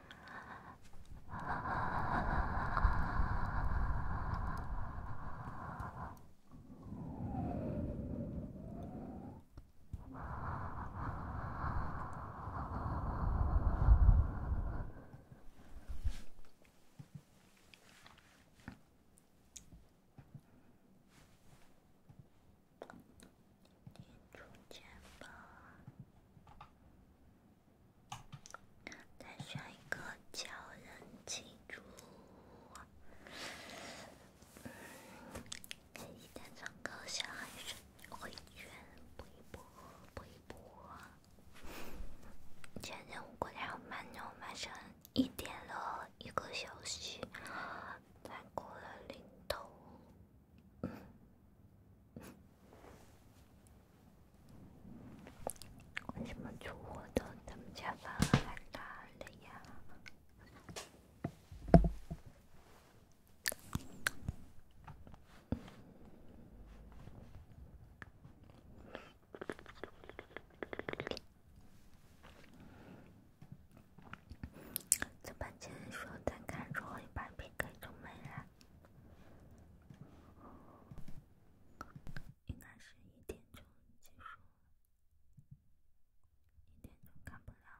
拎出钱包。再选一个叫人记住。嗯，现在唱歌，小孩子会转，不一波，不一波。签任务过两万，任务完成一点了一个小时，才过了零头。嗯。为么出我的他们家房还打人呀？在半截的时候，看出我一把 PK 就没了。应该是一点钟结束，点钟看不了了。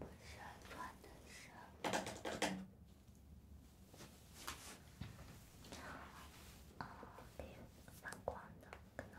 我想穿的是，啊，对，反光的可能。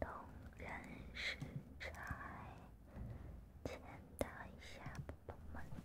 冬日时差，签到一下，宝宝们。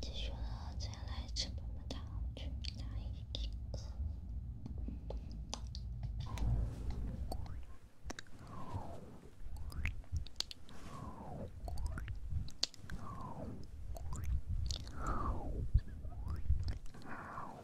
继续了，再来吃棒棒糖，去！来一个。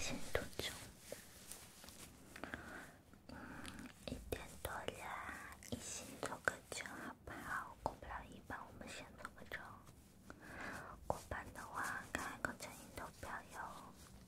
先做个钟，嗯，一点多了，先做个钟好不好？过不了，一般我们先做个钟。过班的话，开个声音投票哟。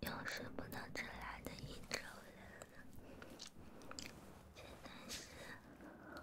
有时不能直来的应酬人，是。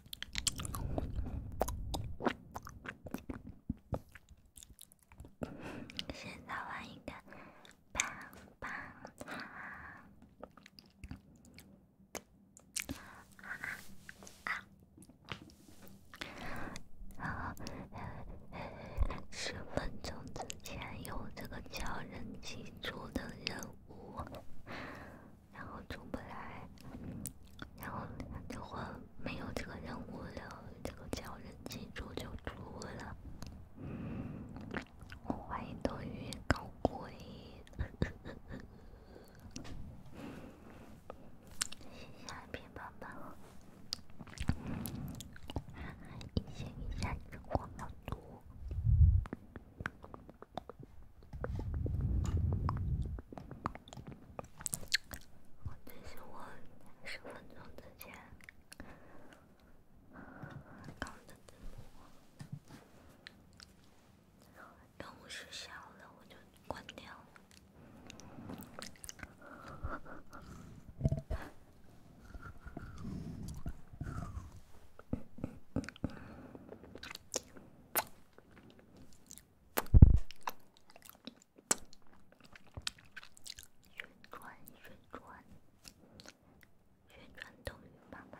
现在玩一个棒棒。好，十分钟之前有这个叫“人机组”的任务。然后出不来，然后这会没有这个任务了。这个叫人记住就出了。我怀疑冬雨搞鬼。谢谢平板板，以前比现在挣的多。我就是我，十分钟之前刚的字幕，灯不是小了，我就关掉了。宣传，宣传，宣传抖音爸爸。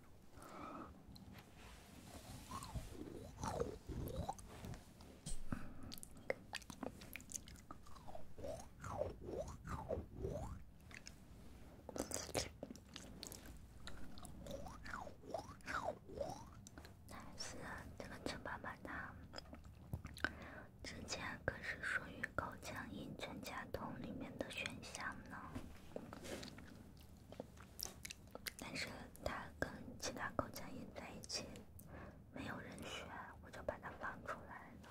那是这个陈爸爸他之前可是属于口腔音专家桶里面的选项呢。但是它跟其他狗在一起，没有人选，我就把它放出来了。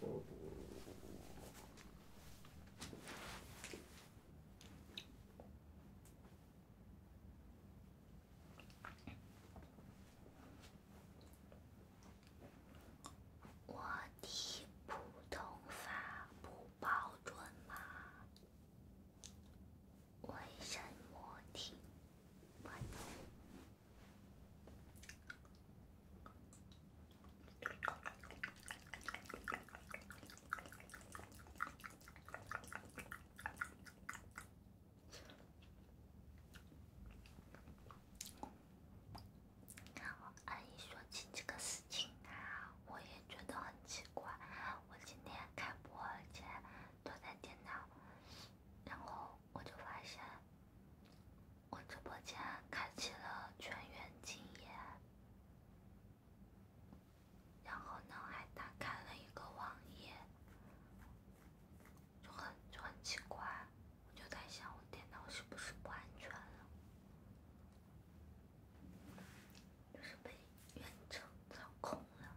我听普通法不标准吗？为什么听阿姨说起这个事情啊，我也觉得很奇怪。我今天开播前坐在电脑，然后我就发现。我直播间开启了全员静音，然后呢还打开了一个网页，就很就很奇怪，我就在想我电脑是不是不安全了，就是被远程操控了。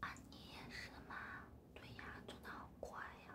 啊，你也是吗？对呀，转的好快呀。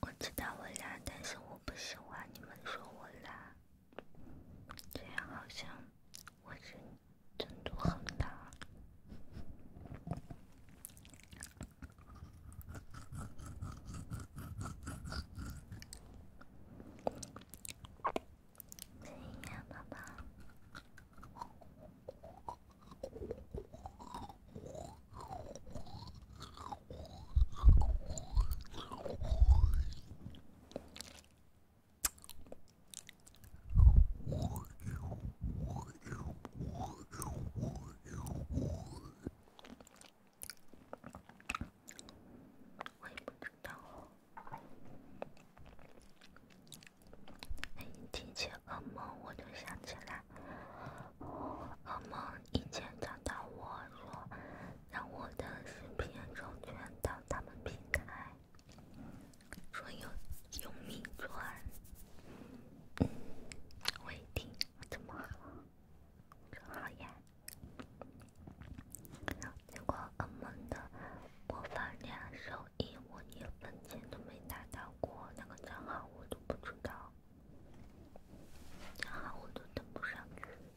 我知道我懒，但是我不喜欢你们说我懒。这样好像，我真真度很大。我也不知道。哎，你提起噩梦，我就想起来，噩梦以前找到我说。让我的视频充钱到他们平台，说有有米赚，我一听这么好，真好呀！结果我们的播放量收益我一分钱都没拿到过，那个账号我都不知道，账号我都登不上去。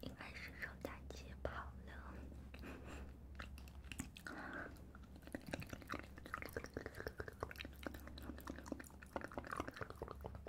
应该是臭大姐跑了。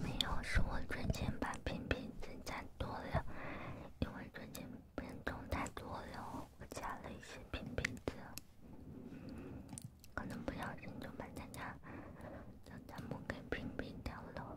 没有，是我赚钱把屏蔽增加多了，因为赚钱人多太多了，我加了一些屏蔽字，可能不小心就把咱家咱家母给屏蔽掉了。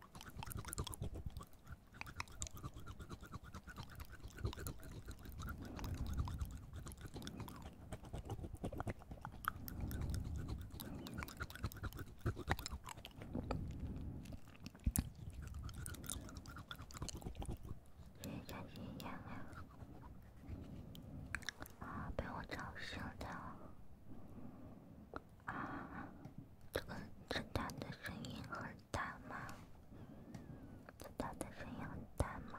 谁在吸烟呀？啊，被我吵醒了。啊，这个子弹的声音很大吗？子弹的声音很大吗？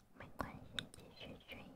没关系，继续睡呀。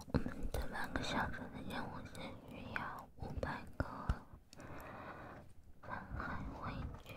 我们这半个小时的任务是需要五百个。瀚海微卷。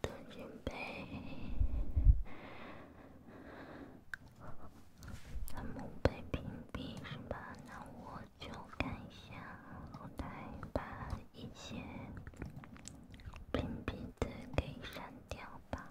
担心被他们被屏蔽是吧？那我就看一下后台，把一些屏蔽的给删掉吧。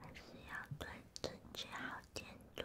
还是要对自己好点多。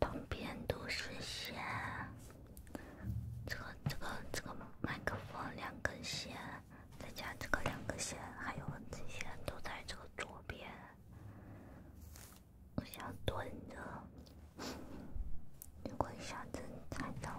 旁边都是线，这个、这个、这个麦克风两根线，再加这个两根线，还有这些都在这个左边。我想蹲着，如果一下子踩到。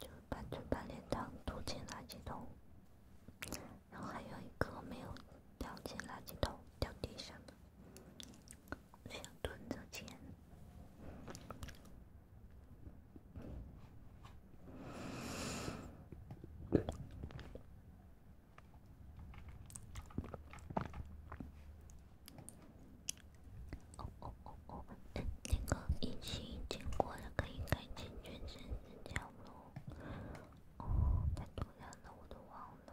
就把这半脸汤丢进垃圾桶，然后还有一个没有丢进垃圾桶掉地上的，想蹲着捡。哦，那那个情已经过了可以改进全身增强喽。哦，太突然了，我都忘了。